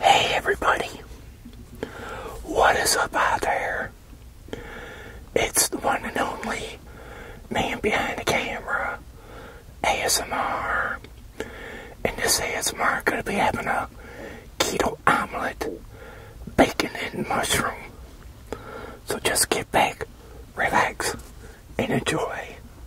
Hey everybody, what is up out there? It's the one and only man behind the camera, ASMR, and this ASMR gonna be having a keto omelet, bacon and mushroom. So just get back, relax, and enjoy.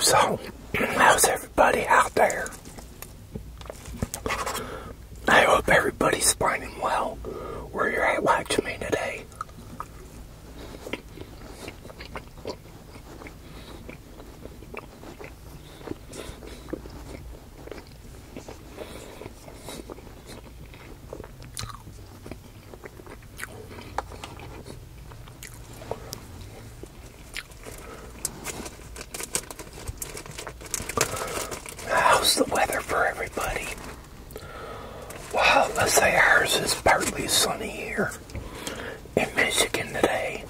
So, how's everybody out there? I hope everybody's fine well where you're at watching me today. How's the weather for everybody? Well, let's say ours is partly sunny here in Michigan today.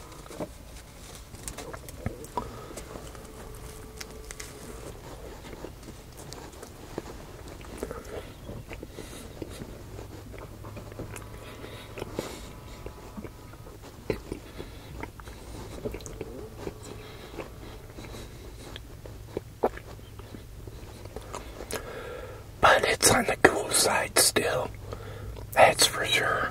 But it's on the cool side still, that's for sure.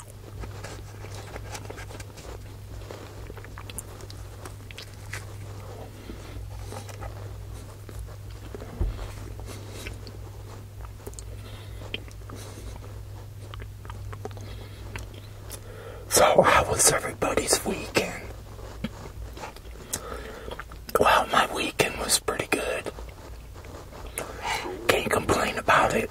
So, how was everybody's weekend? Well, my weekend was pretty good. Can't complain about it.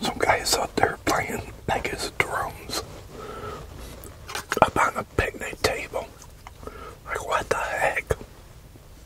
Some guys out there playing like his drums up on the picnic table. Like, what the heck?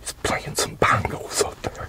He's playing some bongos up there.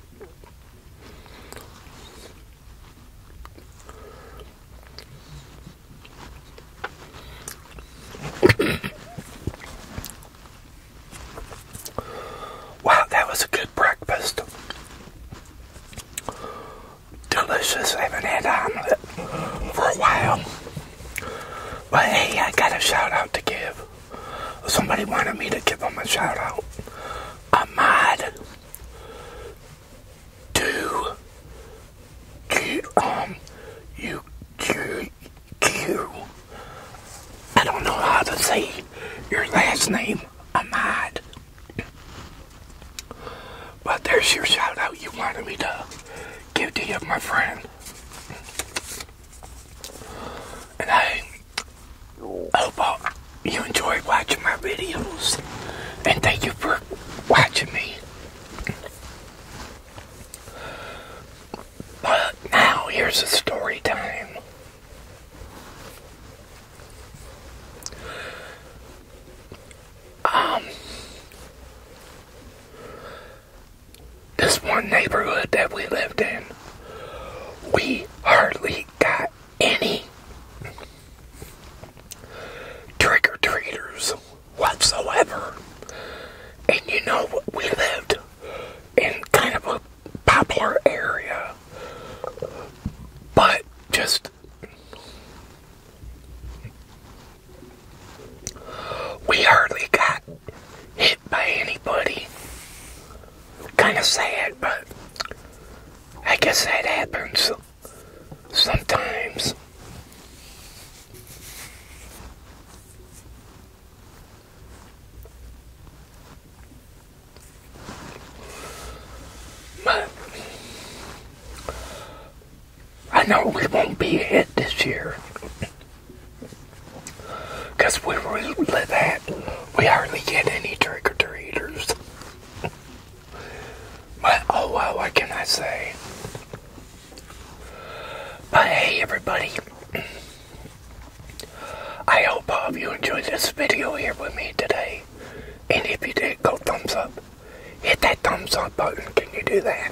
wow, that was a good breakfast. Delicious. I had omelet um, for a while. But hey, I got a shout out to give somebody wanted me to give them a shout out. Ahmad to G um U Q Q. I don't know how to say your last name, Ahmad. But there's your shout out you wanted me to give to you, my friend. And I hope you enjoy watching my videos. And thank you for watching me. But now, here's a story time. Um, this one neighborhood that we lived in, we hardly got any trick or treaters whatsoever. And you know, we lived in kind of a popular area, but just we hardly got hit by anybody. Kind of sad, but I guess that happens sometimes. But I know we won't be hit this year. Because we really that we hardly get any trick or treaters. but oh well, what can I say? But hey, everybody. I hope all of you enjoyed this video here with me today. And if you did, go thumbs up. Hit that thumbs up button. Can you do that?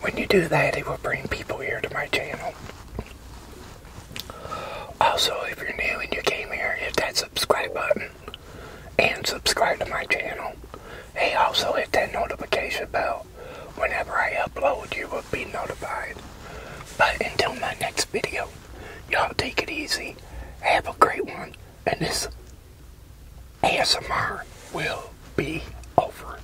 When you do that, it will bring people here to my channel. Also, if you're new and you came here, hit that subscribe button and subscribe to my channel. Hey, also hit that notification bell. Whenever I upload, you will be notified. But until my next video, y'all take it easy. Have a great one. And this ASMR will be over.